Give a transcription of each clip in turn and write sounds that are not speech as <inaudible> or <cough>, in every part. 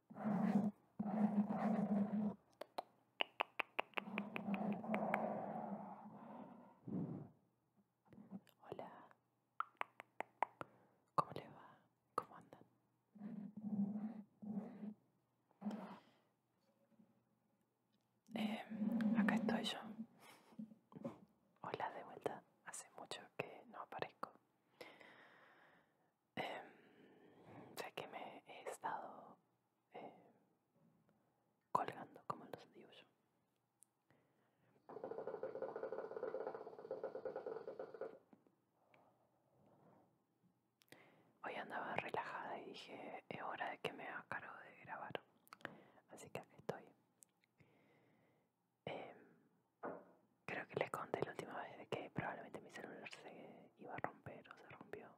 Hola, ¿cómo le va? ¿Cómo andan? Eh, acá estoy yo. Hola de vuelta. Hace mucho que no aparezco. Eh, que me he estado eh, colgando como los digo Hoy andaba relajada y dije, es hora de que me haga de grabar. Así que aquí estoy. Em, creo que les conté la última vez que probablemente mi celular se iba a romper o se rompió.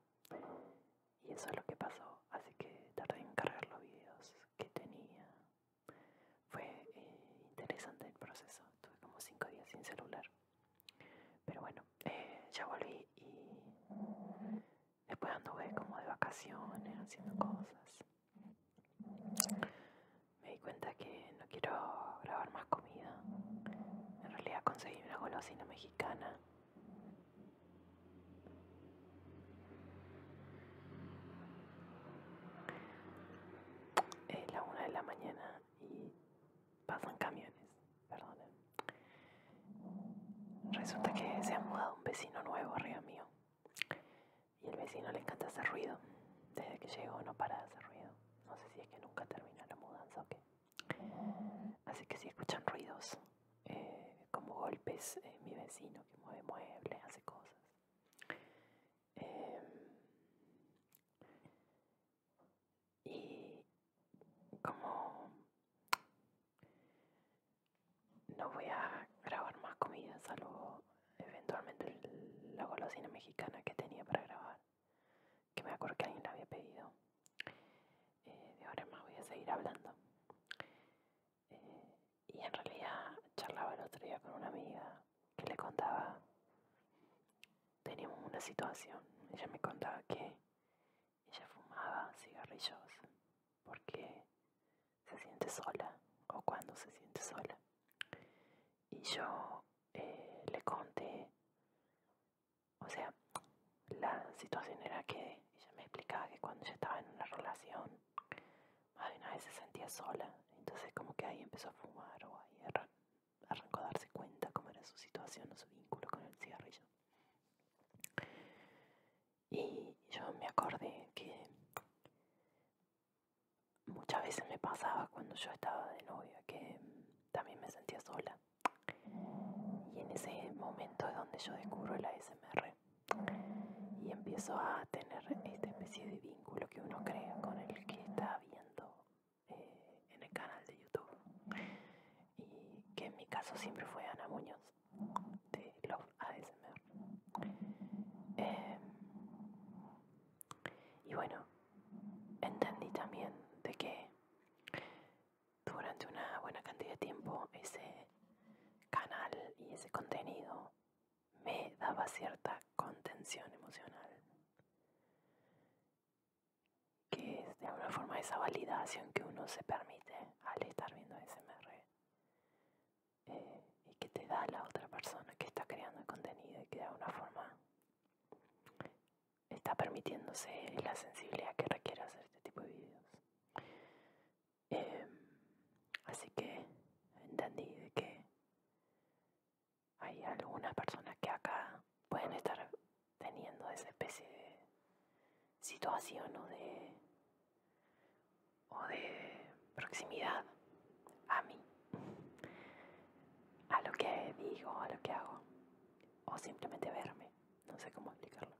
Y eso es lo que pasó. Así que tardé en cargar los videos que tenía. Fue eh, interesante el proceso. Tuve como 5 días sin celular. Pero bueno, eh, ya volví y después anduve como de vacaciones haciendo cosas. Me di cuenta que no quiero grabar más comida. En realidad conseguí una golosina mexicana. Es la una de la mañana y pasan camiones, perdonen. Resulta que se ha mudado un vecino nuevo arriba mío. Y el vecino le encanta hacer ruido. Desde que llegó no para de hacer ruido. No sé si es que nunca termina la mudanza o qué. Así que si escuchan ruidos, eh, como golpes, eh, mi vecino que mueve muebles, hace cosas. Em, y como no voy a grabar más comida, salvo eventualmente la golosina mexicana que tenía para grabar, que me acuerdo que alguien la había pedido. Eh, de ahora en más voy a seguir hablando. Eh, y en realidad charlaba el otro día con una amiga que le contaba, teníamos una situación, ella me contaba que ella fumaba cigarrillos porque se siente sola o cuando se siente sola. Y yo eh, le conté, o sea, la situación era que ella me explicaba que cuando ella estaba en una relación, más de una vez se sentía sola, entonces como que ahí empezó a fumar o ahí arrancó a darse cuenta cómo era su situación o su vínculo con el cigarrillo. Y yo me acordé que muchas veces me pasaba cuando yo estaba de novia que también me sentía sola. Y en ese momento es donde yo descubro la SMR y empiezo a tener esta especie de vínculo que uno crea con el que está viendo eh, en el canal de YouTube. Y que en mi caso siempre fue Ana Muñoz de Love ASMR. Eh, em, y bueno, entendí también de que durante una buena cantidad de tiempo ese canal y ese contenido me daba cierta contención emocional, que es de alguna forma esa validación que uno se permite al estar viendo ASMR. Eh, y que te da la otra persona que está creando el contenido y que de alguna forma está permitiéndose la sensibilidad que requiere hacer este tipo de videos. Em, así que entendí que hay algunas personas que acá pueden estar teniendo esa especie de situación o de, o de proximidad a mí, a lo que digo, a lo que hago, o simplemente verme, no sé cómo explicarlo.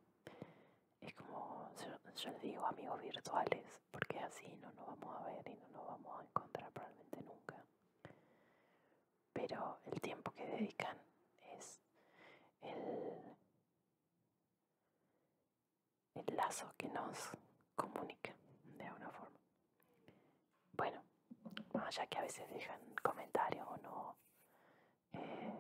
Es como, yo, yo digo amigos virtuales, porque así no nos vamos a ver y no nos vamos a encontrar probablemente nunca. Pero el tiempo que dedican es el, el lazo que nos comunica de alguna forma. Bueno, ya que a veces dejan comentarios o no, eh,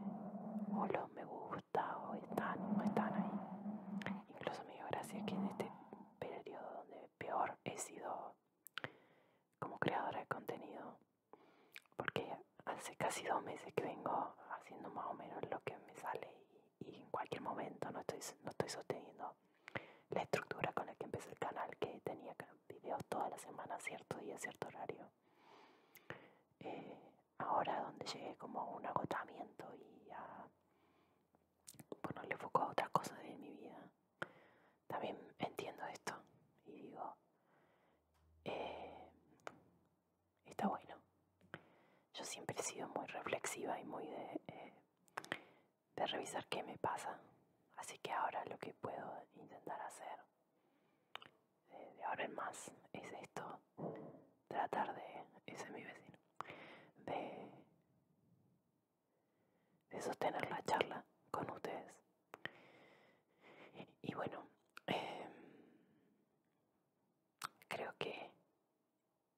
o los me gusta, o están o no están ahí. Incluso me dio gracia que en este periodo donde peor he sido como creadora de contenido, porque hace casi dos meses que vengo haciendo más o menos lo que me sale y, en cualquier momento no estoy, no estoy sosteniendo la estructura con la que empecé el canal que tenía videos toda la semana, cierto día, cierto horario. Eh, ahora donde llegué como un agotamiento y a le foco a otras cosas de mi vida, también entiendo esto y digo, eh, está bueno. Yo siempre he sido muy reflexiva y muy de, eh, de revisar qué me pasa. Así que ahora lo que puedo intentar hacer eh, de ahora en más es esto. Tratar de, ese es mi vecino, de, de sostener la charla con ustedes y bueno, em, creo que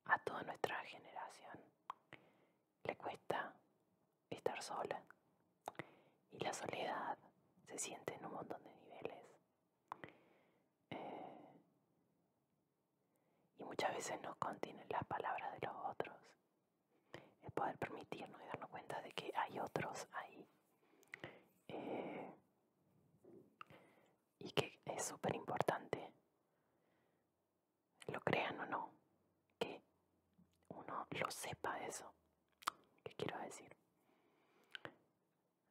a toda nuestra generación le cuesta estar sola y la soledad se siente en un montón de niveles. Eh, y muchas veces nos contienen las palabras de los otros. es poder permitirnos y darnos cuenta de que hay otros ahí eh, y que es súper importante, lo crean o no, que uno lo sepa eso. ¿Qué quiero decir?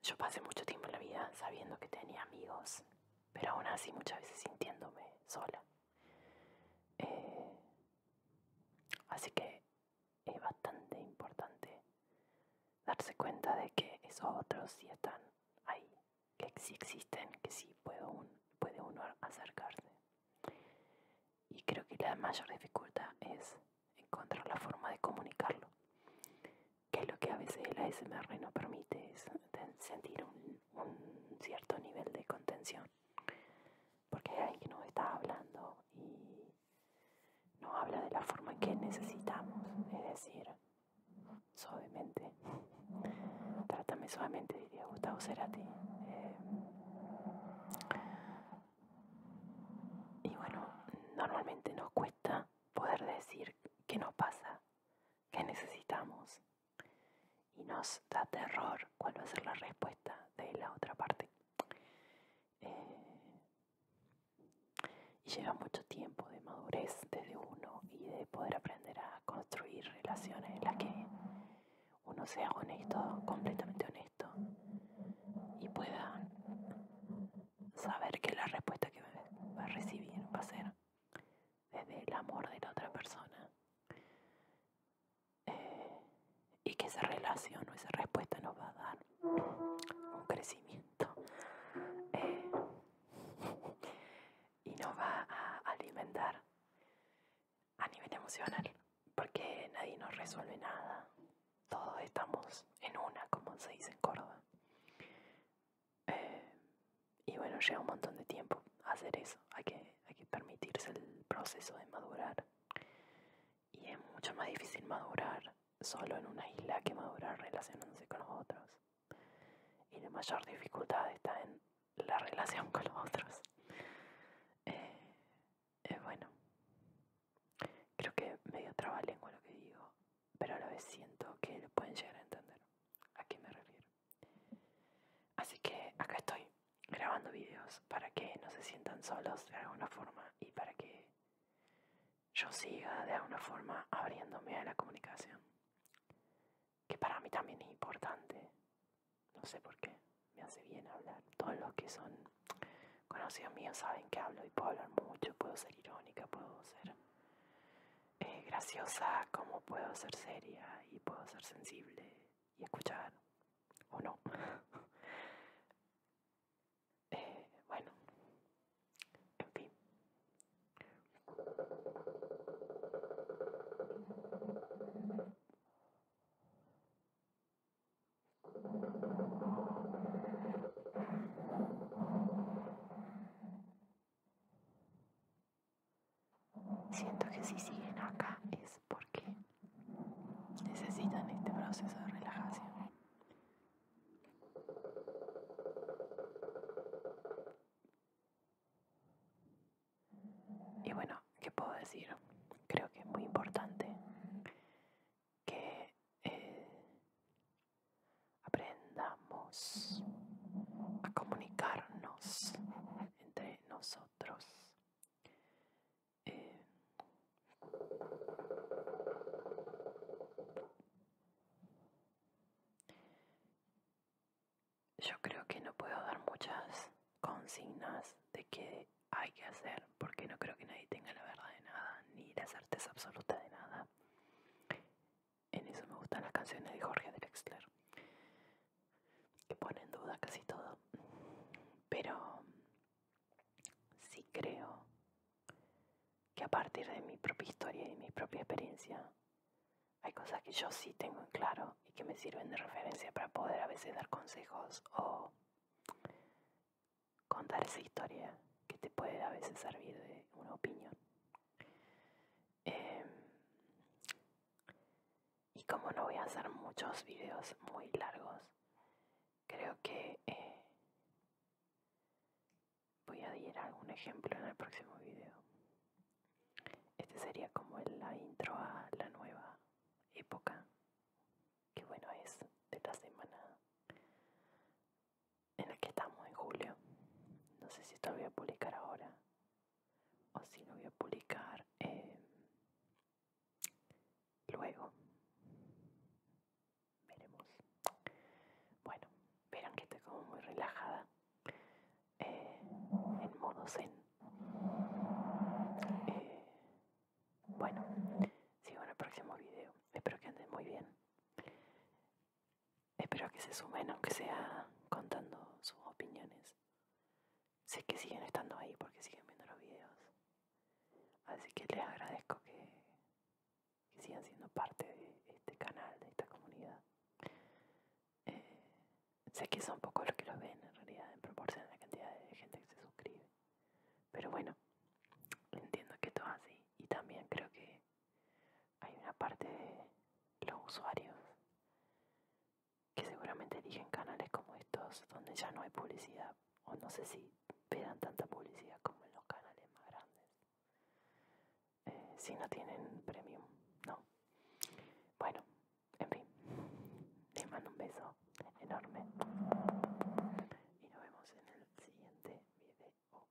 Yo pasé mucho tiempo en la vida sabiendo que tenía amigos, pero aún así muchas veces sintiéndome sola. Eh, así que es bastante importante darse cuenta de que esos otros sí están ahí, que sí existen, que sí puede, un, puede uno acercarse. Y creo que la mayor dificultad es encontrar la forma de comunicarlo, que es lo que a veces el ASMR no permite, es sentir un, cierto nivel de contención, porque hay quien está hablando y nos habla de la forma en que necesitamos, es decir, suavemente. Trátame suavemente, diría Gustavo Cerati. Eh, y bueno, normalmente nos cuesta poder decir qué nos pasa, qué necesitamos. Y nos da terror cuál va a ser la respuesta de la otra parte. Eh, y lleva mucho tiempo de madurez desde uno y de poder aprender a construir relaciones en las que uno sea honesto, completamente honesto, y pueda saber que la respuesta que va a recibir va a ser desde el amor de la otra persona y que esa relación o esa respuesta nos va a dar un crecimiento eh, y nos va a alimentar a nivel emocional porque nadie nos resuelve nada todos estamos en una como se dice en Córdoba eh, y bueno lleva un montón de tiempo hacer eso hay que, hay que permitirse el proceso de madurar y es mucho más difícil madurar solo en una isla que madurar relacionándose con los otros. Y la mayor dificultad está en la relación con los otros. Eh, bueno, creo que medio en lo que digo, pero a la vez siento que lo pueden llegar a entender. ¿A qué me refiero? Así que acá estoy grabando videos para que no se sientan solos de alguna forma y para que yo siga de alguna forma abriéndome a la comunicación. Que para mí también es importante. No sé por qué. Me hace bien hablar. Todos los que son conocidos míos saben que hablo y puedo hablar mucho. Puedo ser irónica, puedo ser eh, graciosa, como puedo ser seria y puedo ser sensible y escuchar, o no. <laughs> eh, bueno, en fin. Siento que si siguen acá es porque necesitan este proceso de relajación. Y bueno, ¿qué puedo decir? Creo que es muy importante que eh, aprendamos a comunicarnos entre nosotros. Eh, yo creo que no puedo dar muchas consignas de qué hay que hacer porque no creo que nadie tenga la verdad de nada ni la certeza absoluta de nada. En eso me gustan las canciones de Jorge Drexler que pone en duda casi todo. Pero sí creo que a partir de mi propia historia y mi propia experiencia, hay cosas que yo sí tengo en claro y que me sirven de referencia para poder a veces dar consejos o contar esa historia que te puede a veces servir de una opinión. Em, y como no voy a hacer muchos videos muy largos, creo que eh, voy a ir algún ejemplo en el próximo video. Este sería como la intro a la nueva época, que bueno es de la semana en la que estamos en julio. No sé si esto lo voy a publicar ahora o si lo voy a publicar em, luego veremos bueno verán que estoy como muy relajada eh, en modo zen eh, bueno sigo en el próximo video espero que anden muy bien Espero que se sumen, aunque sea contando sus opiniones. Sé que siguen estando ahí porque siguen viendo los videos. Así que les agradezco que, sigan siendo parte de este canal, de esta comunidad. Eh, sé que son poco los que lo ven en realidad en proporción a la cantidad de gente que se suscribe. Pero bueno, entiendo que todo así. Y también creo que hay una parte de los usuarios que seguramente eligen canales como estos donde ya no hay publicidad o no sé si vean tanta publicidad como en los canales más grandes eh, si no tienen premium no bueno en fin les mando un beso enorme y nos vemos en el siguiente video